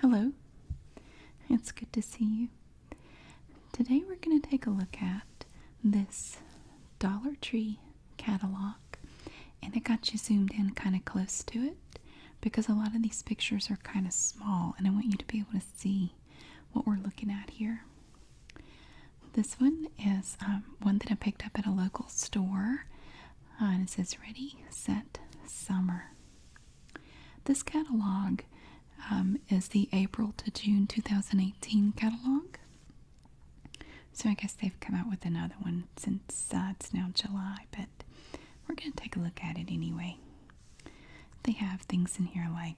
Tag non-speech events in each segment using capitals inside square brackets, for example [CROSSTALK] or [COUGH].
Hello, it's good to see you. Today we're going to take a look at this Dollar Tree catalog, and it got you zoomed in kind of close to it because a lot of these pictures are kind of small, and I want you to be able to see what we're looking at here. This one is um, one that I picked up at a local store, uh, and it says Ready, Set, Summer. This catalog um, is the April to June 2018 catalog. So I guess they've come out with another one since uh, it's now July, but we're going to take a look at it anyway. They have things in here like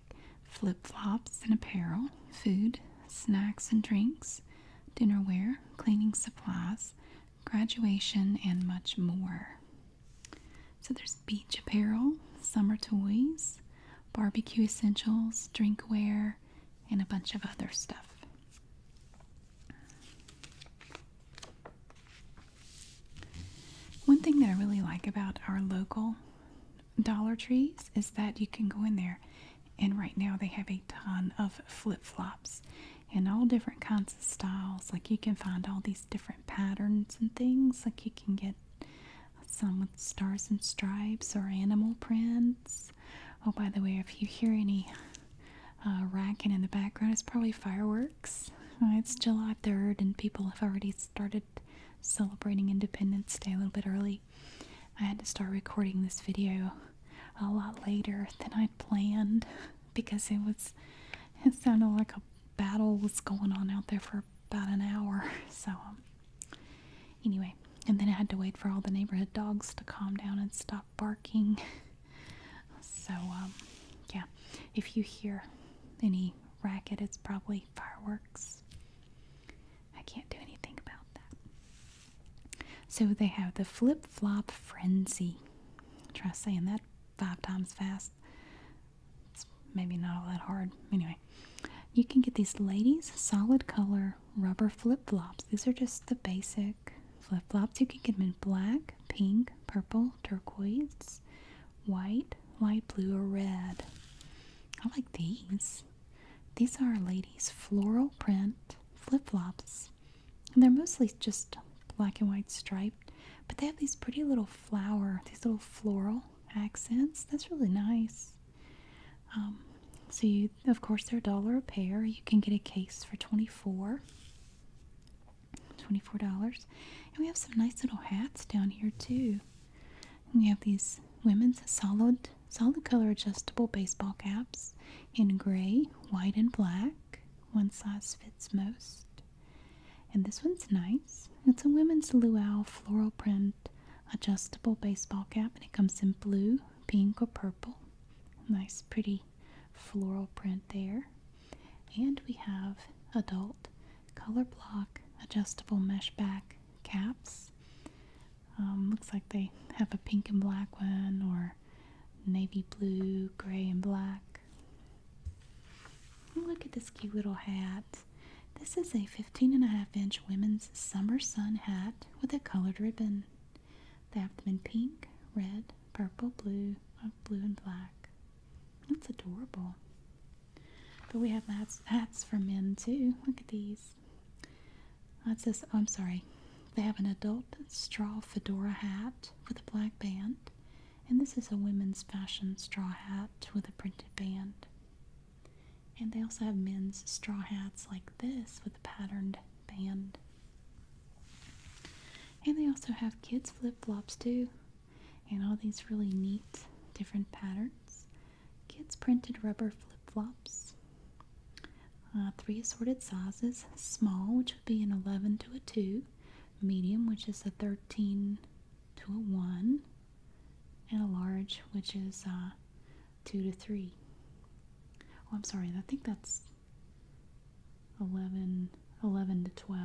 flip flops and apparel, food, snacks and drinks, dinnerware, cleaning supplies, graduation, and much more. So there's beach apparel, summer toys, barbecue essentials, drinkware, and a bunch of other stuff. One thing that I really like about our local Dollar Trees is that you can go in there and right now they have a ton of flip flops and all different kinds of styles. Like you can find all these different patterns and things. Like you can get some with stars and stripes or animal prints. Oh, by the way, if you hear any uh, racking in the background, it's probably fireworks. Uh, it's July 3rd, and people have already started celebrating Independence Day a little bit early. I had to start recording this video a lot later than I'd planned. [LAUGHS] because it was it sounded like a battle was going on out there for about an hour. [LAUGHS] So um, anyway, and then I had to wait for all the neighborhood dogs to calm down and stop barking. [LAUGHS] So um, yeah, if you hear any racket, it's probably fireworks. I can't do anything about that. So they have the flip flop frenzy. Try saying that five times fast. It's maybe not all that hard. Anyway, you can get these ladies solid color rubber flip flops. These are just the basic flip flops. You can get them in black, pink, purple, turquoise, white, light blue, or red. I like these. These are ladies' floral print flip flops they're mostly just black and white striped, but they have these pretty little flower, these little floral accents. That's really nice. Um, so of course, they're a dollar a pair. You can get a case for $24. $24. And we have some nice little hats down here too. we have these women's solid solid color adjustable baseball caps in gray, white, and black one size fits most. And this one's nice. It's a women's luau floral print adjustable baseball cap, and it comes in blue, pink, or purple. Nice, pretty floral print there. And we have adult color block adjustable mesh back caps. Um, looks like they have a pink and black one or more navy blue, gray, and black. Oh, look at this cute little hat. This is a 15 and a half inch women's summer sun hat with a colored ribbon. They have them in pink, red, purple, blue, uh, blue, and black. That's adorable. But we have hats, hats for men too. Look at these. Uh, That's this, oh, I'm sorry. They have an adult straw fedora hat with a black band and this is a women's fashion straw hat with a printed band. And they also have men's straw hats like this with a patterned band. And they also have kids' flip flops too, and all these really neat different patterns. Kids' printed rubber flip flops. Uh, three assorted sizes small, which would be an 11 to a 2, medium, which is a 13 to a 1, and a large, which is uh, 2 to 3. Oh, I'm sorry, I think that's 11, 11 to 12,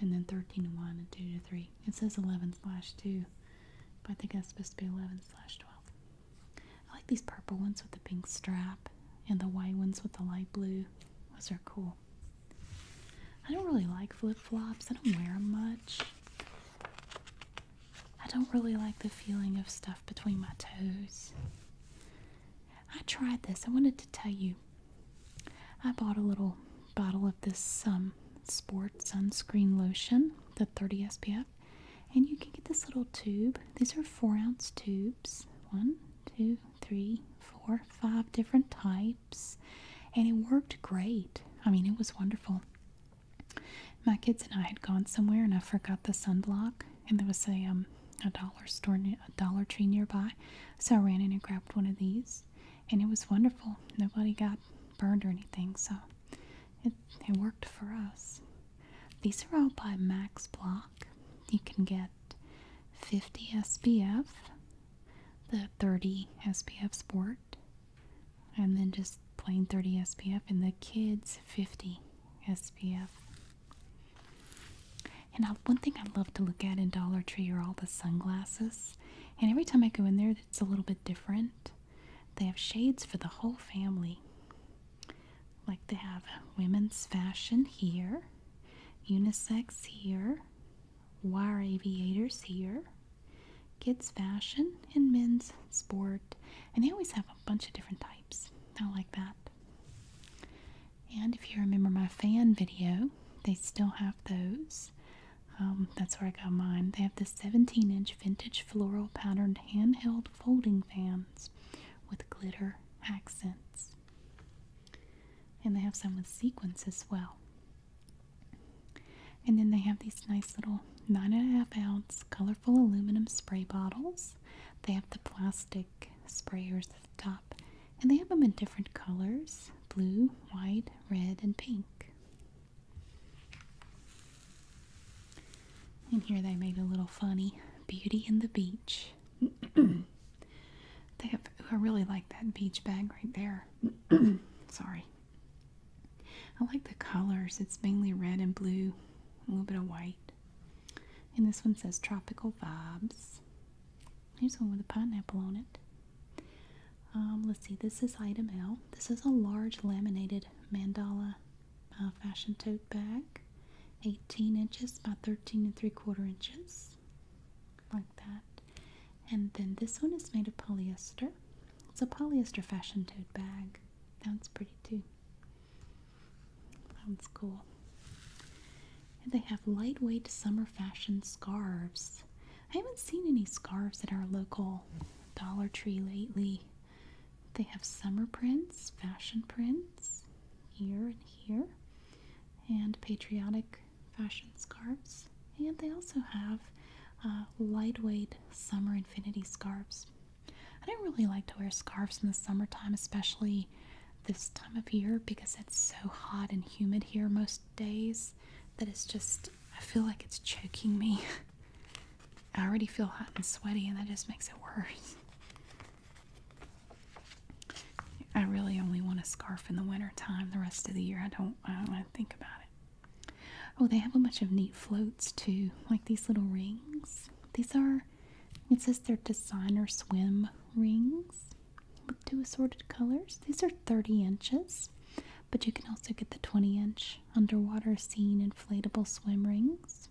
and then 13 to 1 and 2 to 3. It says 11 slash 2, but I think that's supposed to be 11 slash 12. I like these purple ones with the pink strap, and the white ones with the light blue. Those are cool. I don't really like flip flops, I don't wear them much. I don't really like the feeling of stuff between my toes. I tried this. I wanted to tell you. I bought a little bottle of this um, Sport Sunscreen Lotion, the 30 SPF, and you can get this little tube. These are four ounce tubes. One, two, three, four, five different types, and it worked great. I mean, it was wonderful. My kids and I had gone somewhere, and I forgot the sunblock, and there was a um a dollar store, a Dollar Tree nearby, so I ran in and grabbed one of these, and it was wonderful. Nobody got burned or anything, so it it worked for us. These are all by Max Block. You can get 50 SPF, the 30 SPF Sport, and then just plain 30 SPF, and the kids 50 SPF. And I, one thing I love to look at in Dollar Tree are all the sunglasses. And every time I go in there, it's a little bit different. They have shades for the whole family. Like they have women's fashion here, unisex here, wire aviators here, kids fashion, and men's sport. And they always have a bunch of different types. I like that. And if you remember my fan video, they still have those. Um, that's where I got mine. They have the 17 inch vintage floral patterned handheld folding fans with glitter accents. And they have some with sequins as well. And then they have these nice little nine and a half ounce colorful aluminum spray bottles. They have the plastic sprayers at the top. And they have them in different colors blue, white, red, and pink. And here they made a little funny Beauty and the Beach. I really like that beach bag right there. [CLEARS THROAT] Sorry. I like the colors. It's mainly red and blue, a little bit of white. And this one says Tropical Vibes. Here's one with a pineapple on it. Um, let's see, this is item L. This is a large laminated mandala uh, fashion tote bag, 18 inches by 13 and 3 quarter inches like that. And then this one is made of polyester. It's a polyester fashion tote bag. That's pretty too. Sounds cool. And they have lightweight summer fashion scarves. I haven't seen any scarves at our local Dollar Tree lately. They have summer prints, fashion prints, here and here, and patriotic fashion scarves, and they also have uh, lightweight summer infinity scarves. I don't really like to wear scarves in the summertime, especially this time of year, because it's so hot and humid here most days that it's just, I feel like it's choking me. [LAUGHS] I already feel hot and sweaty, and that just makes it worse. I really only want a scarf in the winter time. The rest of the year, I don't. I don't want to think about it. Oh, they have a bunch of neat floats too, like these little rings. These are. It says they're designer swim rings with two assorted colors. These are 30 inches, but you can also get the 20 inch underwater scene inflatable swim rings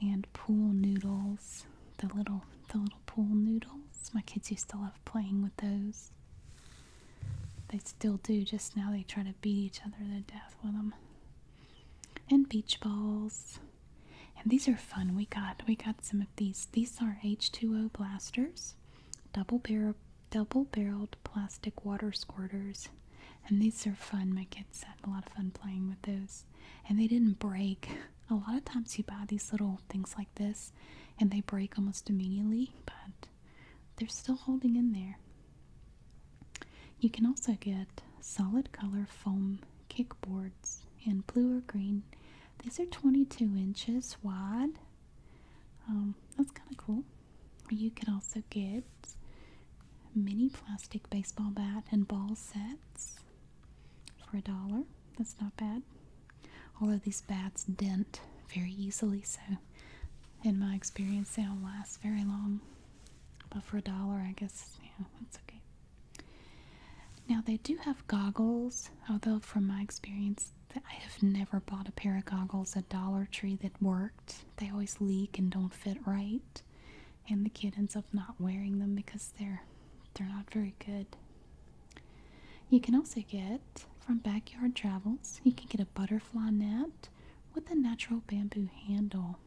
and pool noodles. The little the little pool noodles. My kids used to love playing with those. They still do, just now they try to beat each other to death with them. And beach balls. And these are fun. We got we got some of these. These are H2O blasters, double barrel double barreled plastic water squirters. And these are fun. My kids had a lot of fun playing with those. And they didn't break. A lot of times you buy these little things like this and they break almost immediately, but they're still holding in there. You can also get solid color foam kickboards in blue or green. These are 22 inches wide. Um, that's kind of cool. You can also get mini plastic baseball bat and ball sets for a dollar. That's not bad. Although these bats dent very easily, so in my experience, they don't last very long. But for a dollar, I guess, yeah, it's okay. Now, they do have goggles, although, from my experience, I have never bought a pair of goggles at Dollar Tree that worked. They always leak and don't fit right, and the kid ends up not wearing them because they're they're not very good you can also get from Backyard Travels, you can get a butterfly net with a natural bamboo handle.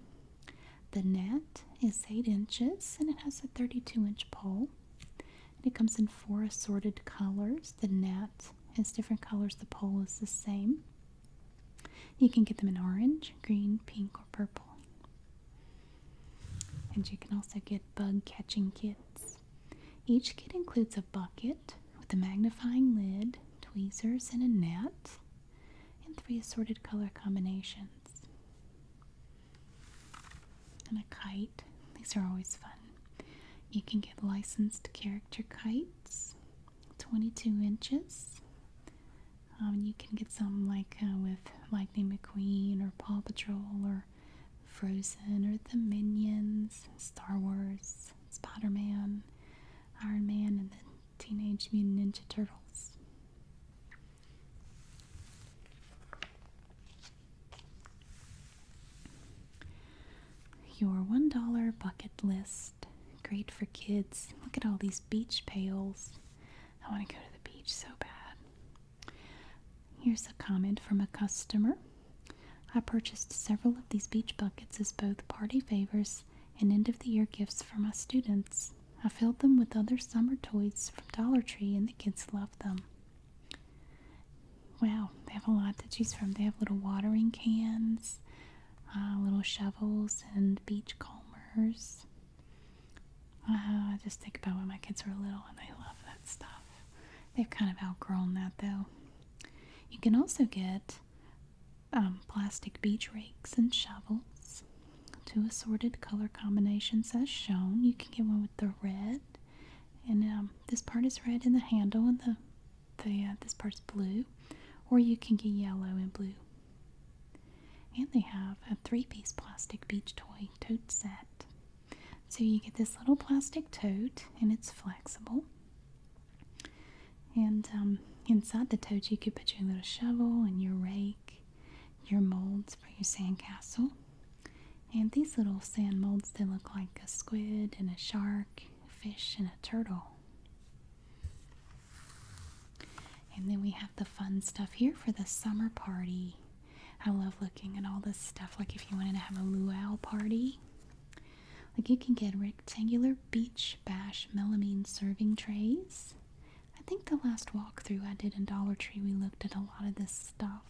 The net is 8 inches and it has a 32 inch pole. it comes in four assorted colors. The net is different colors, the pole is the same. You can get them in orange, green, pink, or purple. And you can also get bug catching kits. Each kit includes a bucket with a magnifying lid, tweezers, and a net, and three assorted color combinations. And a kite. These are always fun. You can get licensed character kites, 22 inches. Um, you can get some like uh, with Lightning McQueen or Paw Patrol or Frozen or the Minions, Star Wars, Spider Man, Iron Man, and the Teenage Mutant Ninja Turtles. Your $1 bucket list. Great for kids. Look at all these beach pails. I want to go to the beach so bad. Here's a comment from a customer. I purchased several of these beach buckets as both party favors and end of the year gifts for my students. I filled them with other summer toys from Dollar Tree and the kids loved them. Wow, they have a lot to choose from. They have little watering cans, uh, little shovels, and beach combers. Uh, I just think about when my kids were little and they love that stuff. They've kind of outgrown that though. You can also get um, plastic beach rakes and shovels, two assorted color combinations as shown. You can get one with the red, and um, this part is red in the handle, and the the uh, this part's blue, or you can get yellow and blue. And they have a three-piece plastic beach toy tote set. So you get this little plastic tote, and it's flexible. And um, inside the tote, you could put your little shovel and your rake, your molds for your sandcastle. And these little sand molds, they look like a squid and a shark, a fish and a turtle. And then we have the fun stuff here for the summer party. I love looking at all this stuff. Like if you wanted to have a luau party, like you can get rectangular beach bash melamine serving trays. I think the last walkthrough I did in Dollar Tree, we looked at a lot of this stuff.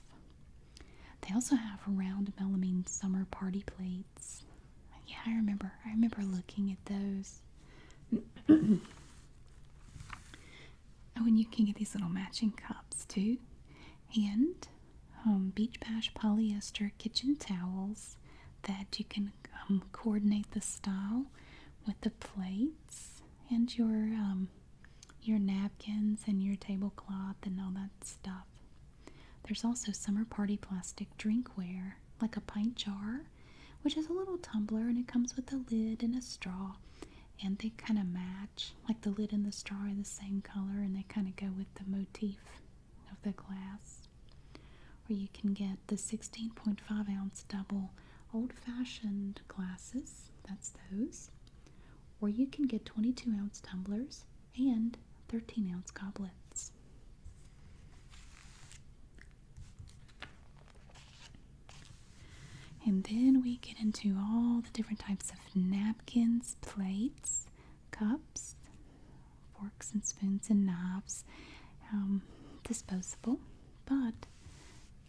They also have round melamine summer party plates. Yeah, I remember. I remember looking at those. [CLEARS THROAT] [CLEARS THROAT] Oh, and you can get these little matching cups too. And um, Beach Bash polyester kitchen towels that you can um, coordinate the style with the plates and your um, your napkins and your tablecloth and all that stuff. There's also summer party plastic drinkware, like a pint jar, which is a little tumbler and it comes with a lid and a straw and they kind of match like the lid and the straw are the same color and they kind of go with the motif of the glass or you can get the 16.5 ounce double old-fashioned glasses that's those or you can get 22 ounce tumblers and 13 ounce goblets and then we get into all the different types of napkins, plates, cups, forks and spoons and knives, um, disposable. But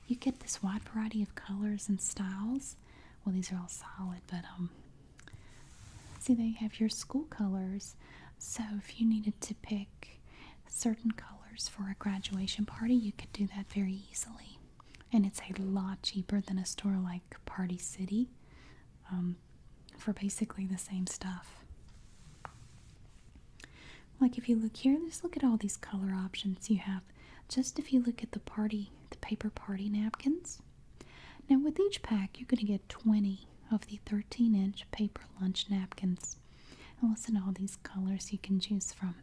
you get this wide variety of colors and styles. Well, these are all solid, but um, see, they have your school colors. So if you needed to pick certain colors for a graduation party, you could do that very easily and it's a lot cheaper than a store like Party City um, for basically the same stuff. Like if you look here, just look at all these color options you have. Just if you look at the party, the paper party napkins. Now with each pack, you're going to get 20 of the 13 inch paper lunch napkins. And listen to all these colors you can choose from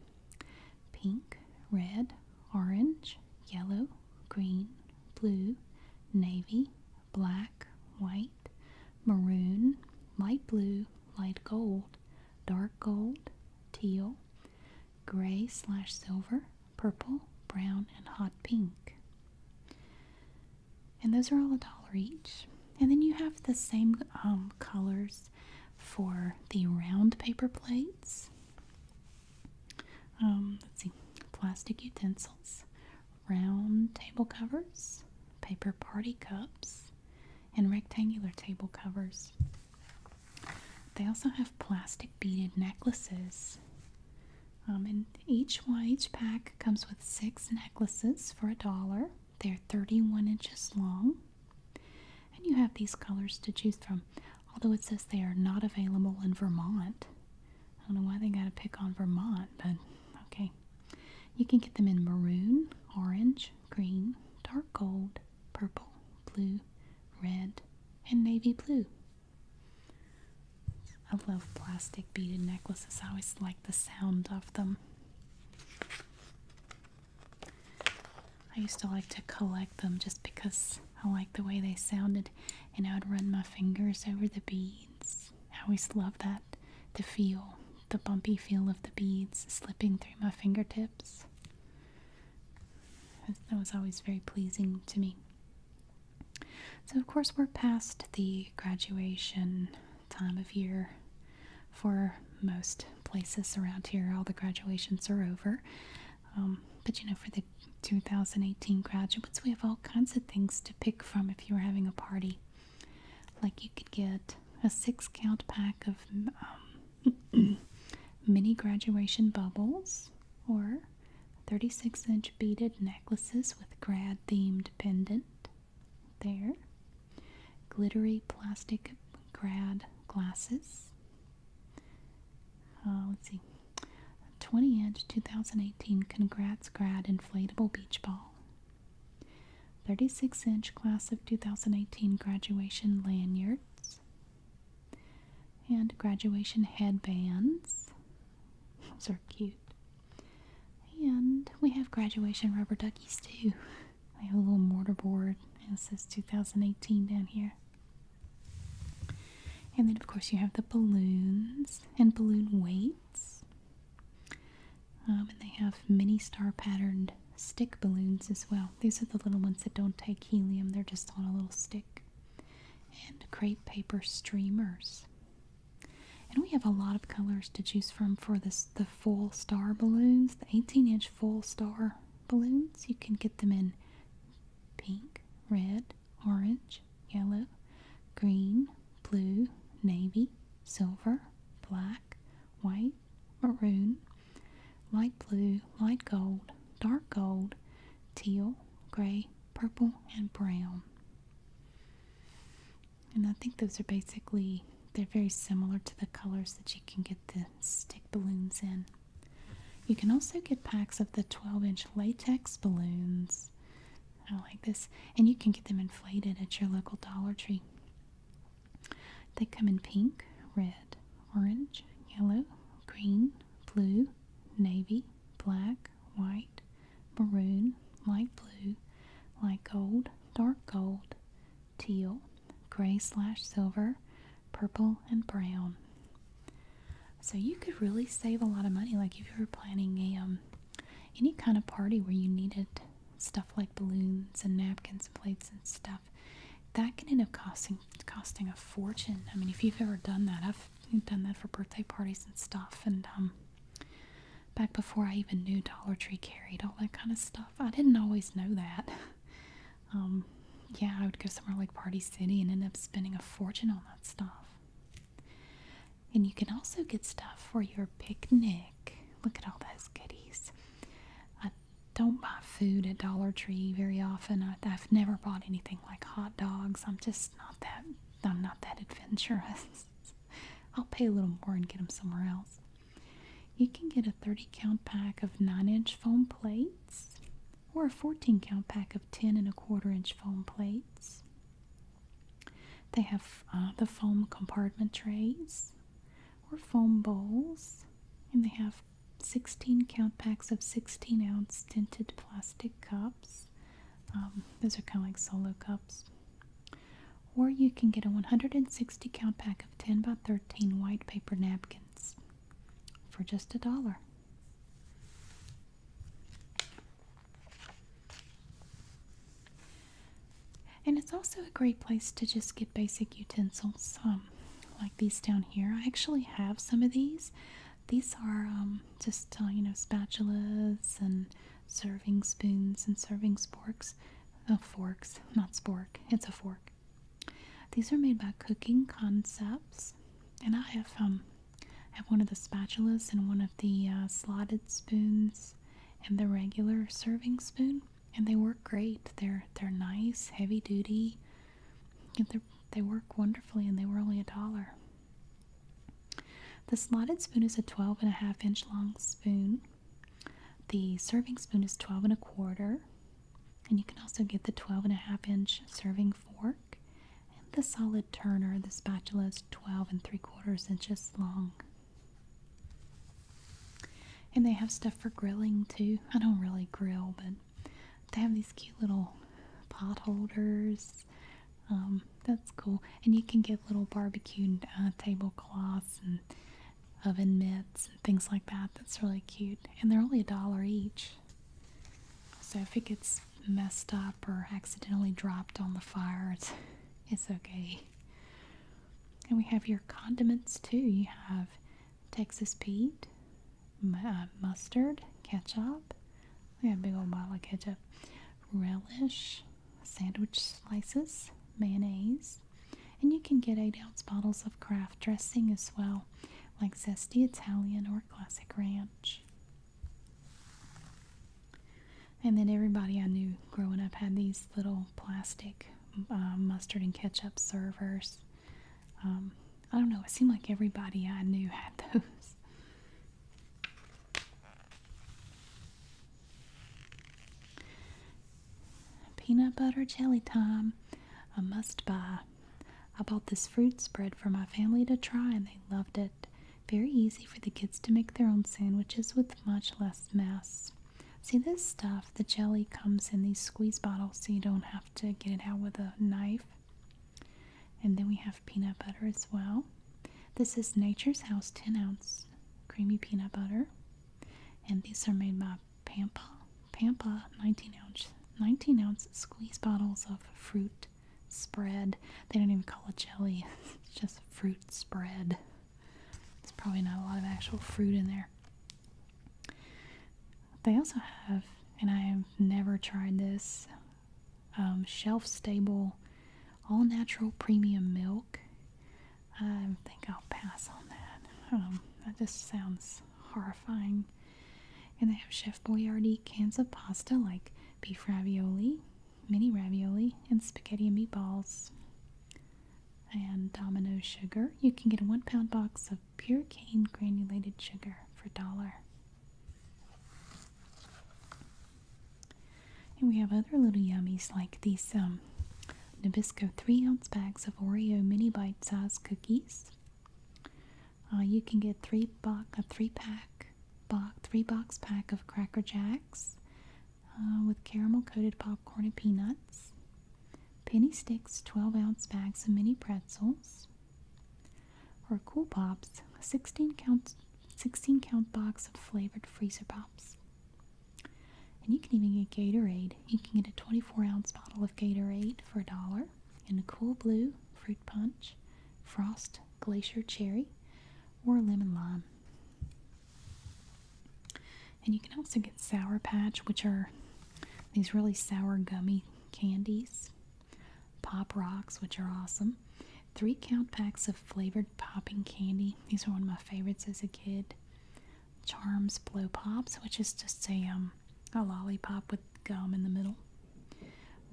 pink, red, orange, yellow, green, blue, navy, black, white, maroon, light blue, light gold, dark gold, teal, gray slash silver, purple, brown, and hot pink. And those are all a dollar each. And then you have the same um, colors for the round paper plate. Um, let's see, plastic utensils, round table covers, paper party cups, and rectangular table covers. They also have plastic beaded necklaces. Um, and each one, each pack comes with six necklaces for a dollar. They're 31 inches long and you have these colors to choose from, although it says they are not available in Vermont. I don't know why they got to pick on Vermont, but okay. You can get them in maroon, orange, green, dark gold, purple, blue, red, and navy blue. I love plastic beaded necklaces. I always like the sound of them. I used to like to collect them just because I liked the way they sounded, and I would run my fingers over the beads. I always loved that the feel, the bumpy feel of the beads slipping through my fingertips. That was always very pleasing to me. So, of course, we're past the graduation time of year for most places around here. All the graduations are over. Um, but you know, for the 2018 graduates, we have all kinds of things to pick from if you were having a party. Like you could get a six count pack of um, [CLEARS THROAT] mini graduation bubbles or 36 inch beaded necklaces with grad themed pendant. There, glittery plastic grad glasses, uh, let's see. 20 inch 2018 Congrats Grad Inflatable Beach Ball. 36 inch Class of 2018 Graduation Lanyards. And graduation headbands. Those are cute. And we have graduation rubber duckies too. I [LAUGHS] have a little mortar board and it says 2018 down here. And then, of course, you have the balloons and balloon weights. Um, and they have mini star patterned stick balloons as well. These are the little ones that don't take helium, they're just on a little stick. And crepe paper streamers. And we have a lot of colors to choose from for the full star balloons, the 18 inch full star balloons. You can get them in pink, red, orange, yellow, green, blue, navy, silver, black, white, maroon, light blue, light gold, dark gold, teal, gray, purple, and brown. And I think those are basically, they're very similar to the colors that you can get the stick balloons in. You can also get packs of the 12 inch latex balloons. I like this. And you can get them inflated at your local Dollar Tree. They come in pink, red, orange, yellow, green, blue, navy, black, white, maroon, light blue, light gold, dark gold, teal, gray slash silver, purple and brown. So you could really save a lot of money. Like if you were planning a um, any kind of party where you needed stuff like balloons and napkins and plates and stuff, that can end up costing costing a fortune. I mean, if you've ever done that, I've done that for birthday parties and stuff. And um, back before I even knew Dollar Tree carried all that kind of stuff, I didn't always know that. [LAUGHS] Um, yeah, I would go somewhere like Party City and end up spending a fortune on that stuff. And you can also get stuff for your picnic. Look at all those goodies. I don't buy food at Dollar Tree very often. I, I've never bought anything like hot dogs. I'm just not that. I'm not that adventurous. [LAUGHS] I'll pay a little more and get them somewhere else. You can get a 30 count pack of 9 inch foam plates or a 14 count pack of 10 and a quarter inch foam plates. They have uh, the foam compartment trays or foam bowls, and they have 16 count packs of 16 ounce tinted plastic cups. Um, those are kind of like solo cups. Or you can get a 160 count pack of 10 by 13 white paper napkins for just a dollar. And it's also a great place to just get basic utensils, um, like these down here. I actually have some of these. These are um, just, uh, you know, spatulas and serving spoons and serving forks. Oh, forks, not spork. It's a fork. These are made by Cooking Concepts, and I have um, I have one of the spatulas and one of the uh, slotted spoons and the regular serving spoon, and they work great. They're they're nice, heavy duty. They they work wonderfully, and they were only a dollar. The slotted spoon is a 12 and a half inch long spoon. The serving spoon is 12 and a quarter and you can also get the 12 and a half inch serving fork and the solid turner. The spatula is 12 and 3 quarters inches long. And they have stuff for grilling too. I don't really grill, but they have these cute little pot holders. Um, that's cool. And you can get little barbecue uh, tablecloths and oven mitts and things like that. That's really cute. And they're only a dollar each. So if it gets messed up or accidentally dropped on the fire, it's, it's okay. And we have your condiments too. You have Texas Pete, uh, mustard, ketchup. We have big old bottle of ketchup. Relish, sandwich slices, mayonnaise. And you can get 8 ounce bottles of Kraft dressing as well like zesty Italian or classic ranch. And then everybody I knew growing up had these little plastic um, mustard and ketchup servers. Um, I don't know, it seemed like everybody I knew had [LAUGHS] those. Peanut butter jelly time, a must buy. I bought this fruit spread for my family to try, and they loved it. Very easy for the kids to make their own sandwiches with much less mess. See, this stuff, the jelly comes in these squeeze bottles so you don't have to get it out with a knife. And then we have peanut butter as well. This is Nature's House 10 ounce creamy peanut butter. And these are made by Pampa, Pampa 19 ounce, 19 ounce squeeze bottles of fruit spread. They don't even call it jelly, [LAUGHS] it's just fruit spread. It's probably not a lot of actual fruit in there. They also have, and I have never tried this, um, shelf stable, all natural premium milk. I think I'll pass on that. Um, that just sounds horrifying. And I have Chef Boyardee cans of pasta like beef ravioli, mini ravioli, and spaghetti and meatballs. And Domino sugar. You can get a one pound box of pure cane granulated sugar for a dollar. And we have other little yummies like these um, Nabisco 3 ounce bags of Oreo mini bite sized cookies. Uh, you can get three box a three pack box three box pack of Cracker Jacks uh, with caramel coated popcorn and peanuts. Penny sticks, 12 ounce bags of mini pretzels. Or Cool Pops, a 16 count 16 count box of flavored freezer pops. And you can even get Gatorade. You can get a 24 ounce bottle of Gatorade for a dollar in a cool blue fruit punch, frost glacier cherry, or lemon lime. And you can also get Sour Patch, which are these really sour gummy candies, Pop Rocks, which are awesome, three count packs of flavored popping candy. These are one of my favorites as a kid. Charms Blow Pops, which is just a um, a lollipop with gum in the middle.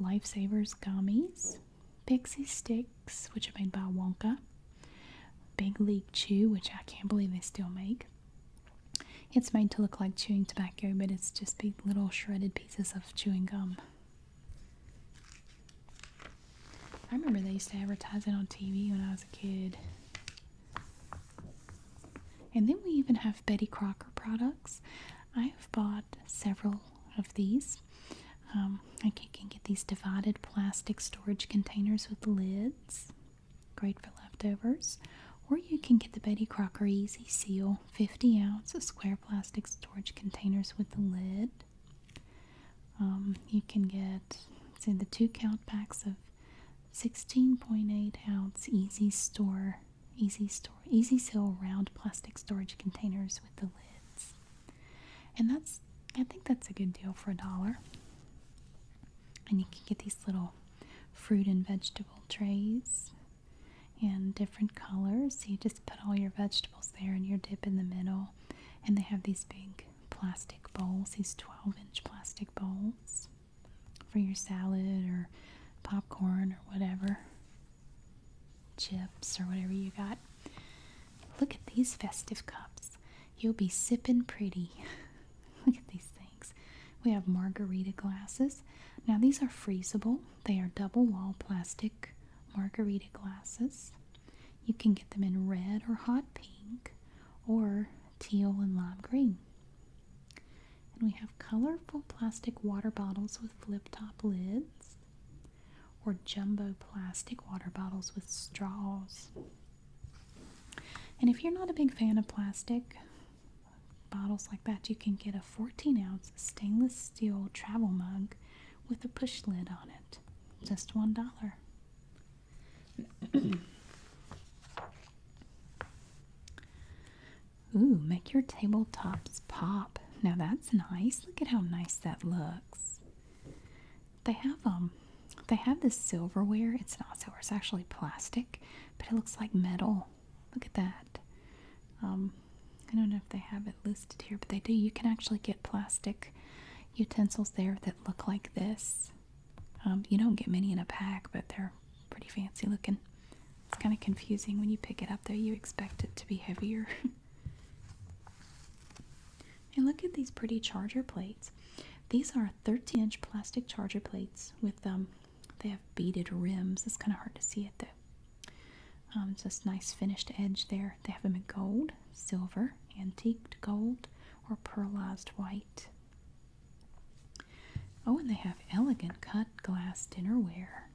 Lifesavers gummies, Pixie sticks, which are made by Wonka, Big League Chew, which I can't believe they still make. It's made to look like chewing tobacco, but it's just big little shredded pieces of chewing gum. I remember they used to advertise it on TV when I was a kid. And then we even have Betty Crocker products. I've bought several of these. Um, I can get these divided plastic storage containers with lids. Great for leftovers. Or you can get the Betty Crocker Easy Seal 50 ounce square plastic storage containers with the lid. Um, you can get, say, the two count packs of 16.8 ounce Easy Store easy store easy seal round plastic storage containers with the lids. And that's I think that's a good deal for a dollar. And you can get these little fruit and vegetable trays in different colors. So you just put all your vegetables there and your dip in the middle. And they have these big plastic bowls, these 12 inch plastic bowls for your salad or popcorn or whatever, chips or whatever you got. Look at these festive cups. You'll be sipping pretty. [LAUGHS] Look at these things. We have margarita glasses. Now, these are freezable, they are double wall plastic margarita glasses. You can get them in red or hot pink or teal and lime green. And we have colorful plastic water bottles with flip top lids or jumbo plastic water bottles with straws. And if you're not a big fan of plastic bottles like that, you can get a 14 ounce stainless steel travel mug with a push lid on it. Just one dollar. Ooh, make your tabletops pop. Now that's nice. Look at how nice that looks. They have um they have this silverware. It's not silver, it's actually plastic, but it looks like metal. Look at that. Um I don't know if they have it listed here, but they do. You can actually get plastic utensils there that look like this. Um, you don't get many in a pack, but they're Pretty fancy looking. It's kind of confusing when you pick it up though. You expect it to be heavier. [LAUGHS] and look at these pretty charger plates. These are 13-inch plastic charger plates with um they have beaded rims. It's kind of hard to see it though. Um, it's just nice finished edge there. They have them in gold, silver, antiqued gold, or pearlized white. Oh, and they have elegant cut glass dinnerware.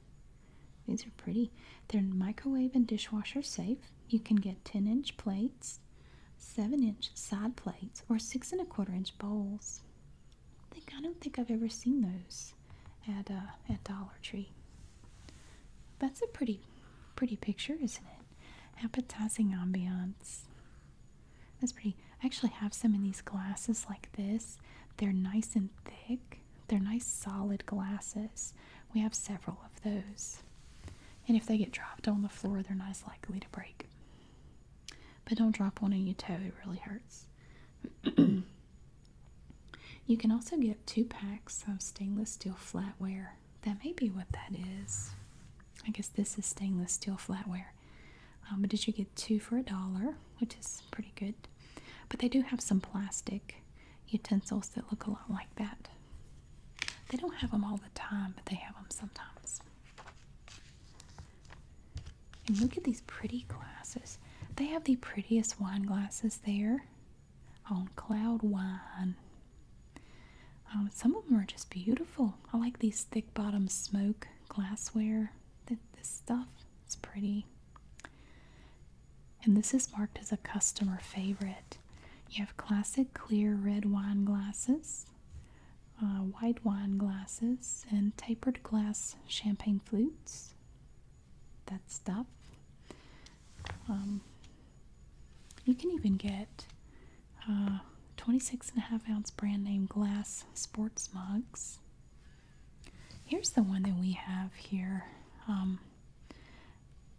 These are pretty. They're microwave and dishwasher safe. You can get 10 inch plates, 7 inch side plates, or 6 and a quarter inch bowls. I, think, I don't think I've ever seen those at, uh, at Dollar Tree. That's a pretty, pretty picture, isn't it? Appetizing ambiance. That's pretty. I actually have some in these glasses like this. They're nice and thick. They're nice solid glasses. We have several of those. And if they get dropped on the floor, they're not likely to break. But don't drop one on your toe, it really hurts. [CLEARS THROAT] you can also get two packs of stainless steel flatware. That may be what that is. I guess this is stainless steel flatware. Um, but did you get two for a dollar, which is pretty good. But they do have some plastic utensils that look a lot like that. They don't have them all the time, but they have them sometimes. And look at these pretty glasses. They have the prettiest wine glasses there on Cloud Wine. Um, some of them are just beautiful. I like these thick bottomed smoke glassware that this stuff is pretty. And this is marked as a customer favorite. You have classic clear red wine glasses, uh, white wine glasses, and tapered glass champagne flutes. That stuff. Um, you can even get uh, 26 and a half ounce brand name glass sports mugs. Here's the one that we have here. Um,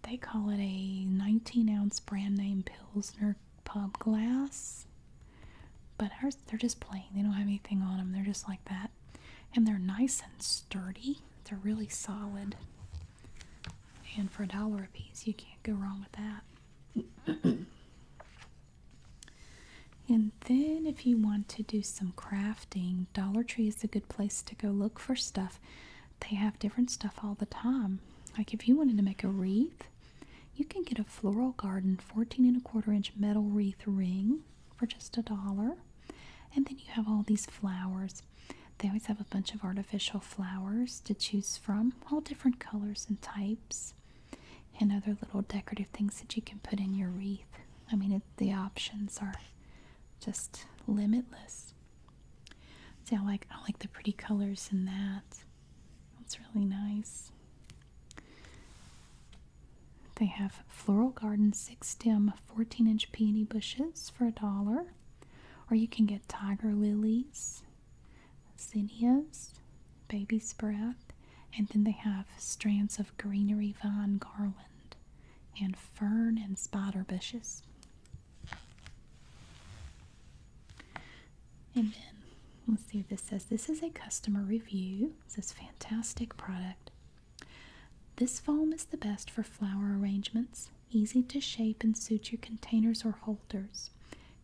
they call it a 19 ounce brand name Pilsner pub glass, but they're just plain. They don't have anything on them. They're just like that, and they're nice and sturdy. They're really solid. And for a dollar a piece, you can't go wrong with that. And then, if you want to do some crafting, Dollar Tree is a good place to go look for stuff. They have different stuff all the time. Like if you wanted to make a wreath, you can get a floral garden 14 and a quarter inch metal wreath ring for just a dollar. And then you have all these flowers. They always have a bunch of artificial flowers to choose from, all different colors and types and other little decorative things that you can put in your wreath. I mean, the options are just limitless. See, I like I like the pretty colors in that. That's really nice. They have floral garden six stem 14 inch peony bushes for a dollar, or you can get tiger lilies, zinnias, baby's breath, and then they have strands of greenery vine garland and fern and spider bushes. And then let's see what this says. This is a customer review. It says fantastic product. This foam is the best for flower arrangements. Easy to shape and suit your containers or holders.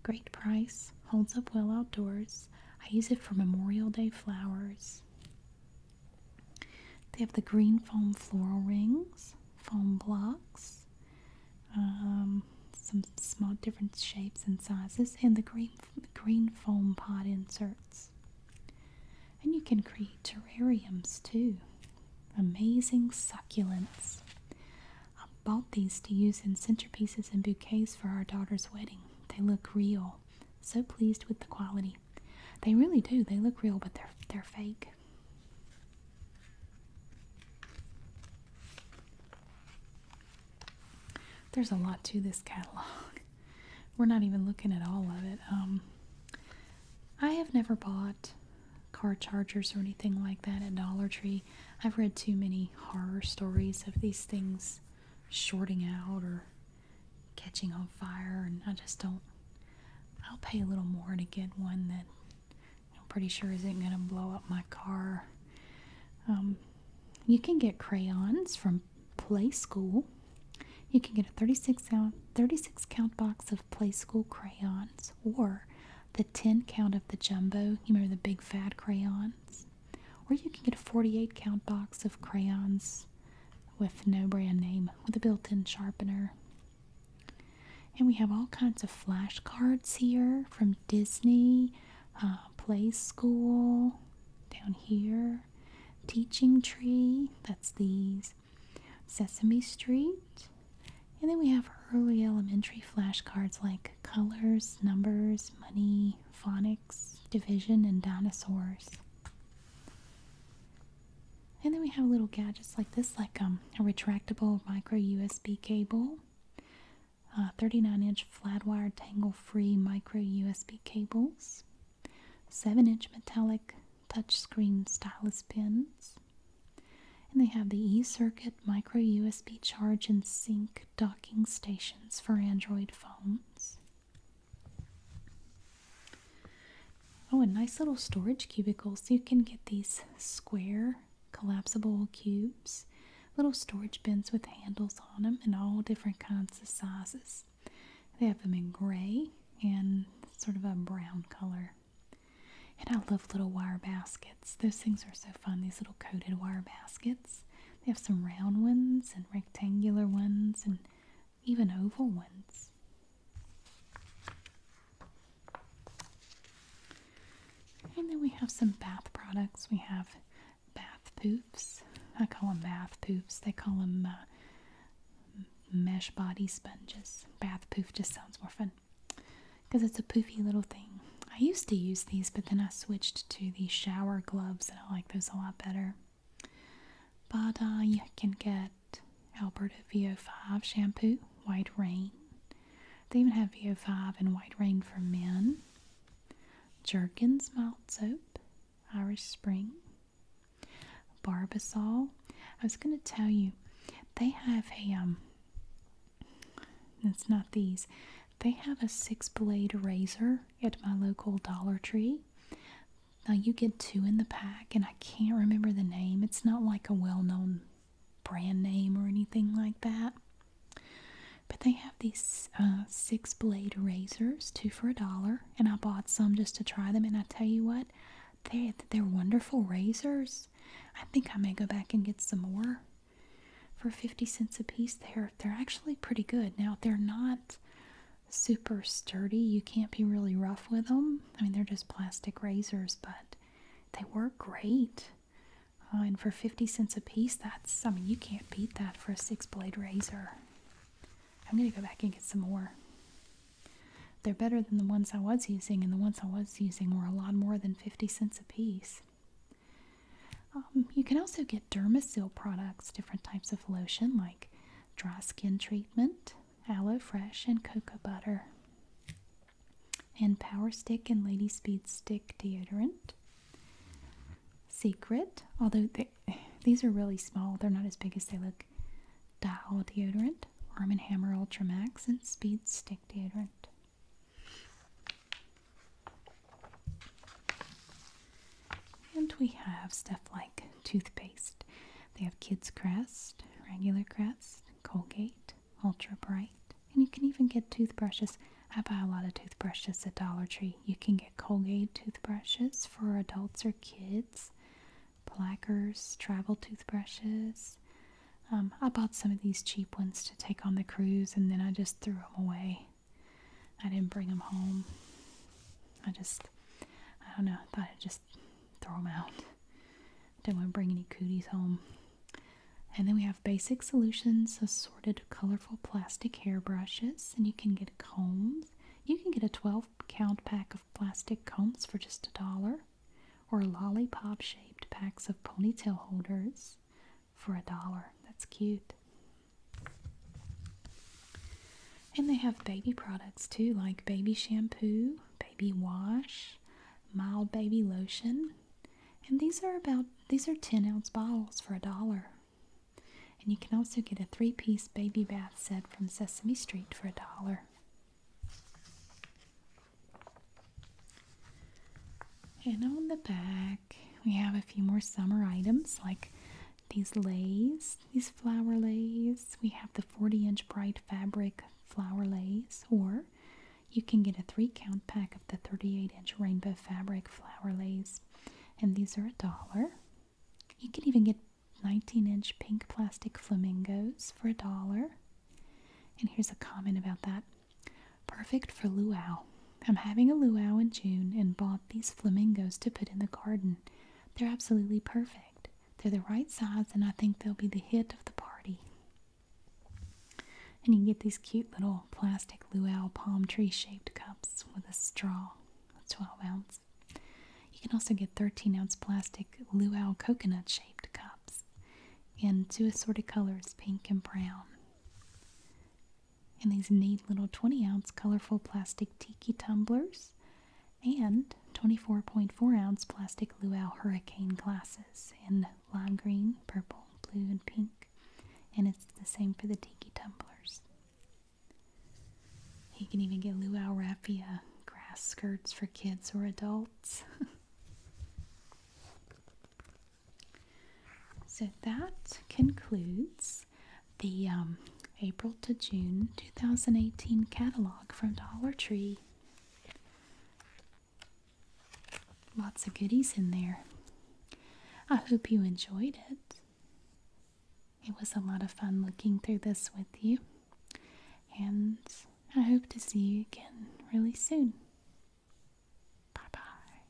Great price, holds up well outdoors, I use it for Memorial Day flowers. They have the green foam floral rings, foam blocks, um, some small different shapes and sizes, and the green green foam pot inserts. And you can create terrariums too. Amazing succulents. I bought these to use in centerpieces and bouquets for our daughter's wedding. They look real. So pleased with the quality. They really do. They look real, but they're they're fake. There's a lot to this catalog. [LAUGHS] We're not even looking at all of it. Um, I have never bought car chargers or anything like that at Dollar Tree. I've read too many horror stories of these things shorting out or catching on fire, and I just don't. I'll pay a little more to get one that I'm pretty sure isn't going to blow up my car. Um, you can get crayons from Play School. You can get a 36 count, 36 count box of Play School crayons or the 10 count of the jumbo. You remember the big fat crayons? Or you can get a 48 count box of crayons with no brand name with a built in sharpener. And we have all kinds of flashcards here from Disney, uh, Play School, down here, Teaching Tree, that's these, Sesame Street. And then we have early elementary flashcards like colors, numbers, money, phonics Division, and dinosaurs. And then we have little gadgets like this, like um, a retractable micro USB cable, uh, 39 inch flat wire tangle free micro USB cables, 7 inch metallic touchscreen stylus pens, and they have the eCircuit micro USB charge and sync docking stations for Android phones. Oh, a nice little storage cubicle. So you can get these square collapsible cubes, little storage bins with handles on them, and all different kinds of sizes. They have them in gray and sort of a brown color. And I love little wire baskets. Those things are so fun, these little coated wire baskets. They have some round ones and rectangular ones and even oval ones. And then we have some bath products. We have bath poofs. I call them bath poofs. They call them uh, mesh body sponges. Bath poof just sounds more fun because it's a poofy little thing. I used to use these, but then I switched to the shower gloves and I like those a lot better. But uh, you can get Alberta VO5 shampoo, White Rain. They even have VO5 and White Rain for men. Jerkins mild soap, Irish Spring, Barbasol. I was going to tell you, they have a, um, it's not these, they have a six blade razor at my local Dollar Tree now you get two in the pack, and I can't remember the name. It's not like a well known brand name or anything like that. But they have these uh, six blade razors, two for a dollar, and I bought some just to try them. And I tell you what, they're, they're wonderful razors. I think I may go back and get some more for 50 cents a piece. They're, they're actually pretty good. Now, they're not super sturdy. You can't be really rough with them. I mean, they're just plastic razors, but they work great. Uh, and for 50 cents a piece, that's, I mean, you can't beat that for a six blade razor. I'm going to go back and get some more. They're better than the ones I was using, and the ones I was using were a lot more than 50 cents a piece. Um, you can also get Dermasil products, different types of lotion like dry skin treatment, aloe fresh, and cocoa butter, and Power Stick and Lady Speed Stick deodorant. Secret, although these are really small, they're not as big as they look. Dial deodorant, Arm & Hammer Ultra Max, and Speed Stick deodorant. And we have stuff like toothpaste. They have Kids Crest, Regular Crest, Colgate, Ultra Bright, and you can even get toothbrushes. I buy a lot of toothbrushes at Dollar Tree. You can get Colgate toothbrushes for adults or kids, plackers, travel toothbrushes. Um, I bought some of these cheap ones to take on the cruise and then I just threw them away. I didn't bring them home. I just, I don't know, I thought I'd just throw them out. Didn't want to bring any cooties home. And then we have Basic Solutions assorted colorful plastic hair brushes, and you can get combs. You can get a 12 count pack of plastic combs for just a dollar, or lollipop shaped packs of ponytail holders for a dollar. That's cute. And they have baby products too, like baby shampoo, baby wash, mild baby lotion. And these are about these are 10 ounce bottles for a dollar. And you can also get a three piece baby bath set from Sesame Street for a dollar. And on the back, we have a few more summer items like these lays, these flower lays. We have the 40 inch bright fabric flower lays, or you can get a three count pack of the 38 inch rainbow fabric flower lays, and these are a dollar. You can even get 19 inch pink plastic flamingos for a dollar. And here's a comment about that perfect for luau. I'm having a luau in June and bought these flamingos to put in the garden. They're absolutely perfect. They're the right size and I think they'll be the hit of the party. And you can get these cute little plastic luau palm tree shaped cups with a straw. That's 12 ounces. You can also get 13 ounce plastic luau coconut shaped cups in two assorted colors, pink and brown in these neat little 20 ounce colorful plastic tiki tumblers and 24.4 ounce plastic luau hurricane glasses in lime green, purple, blue, and pink. And it's the same for the tiki tumblers. You can even get luau raffia grass skirts for kids or adults. [LAUGHS] so that concludes the um, April to June 2018 catalog from Dollar Tree. Lots of goodies in there. I hope you enjoyed it. It was a lot of fun looking through this with you, and I hope to see you again really soon. Bye bye.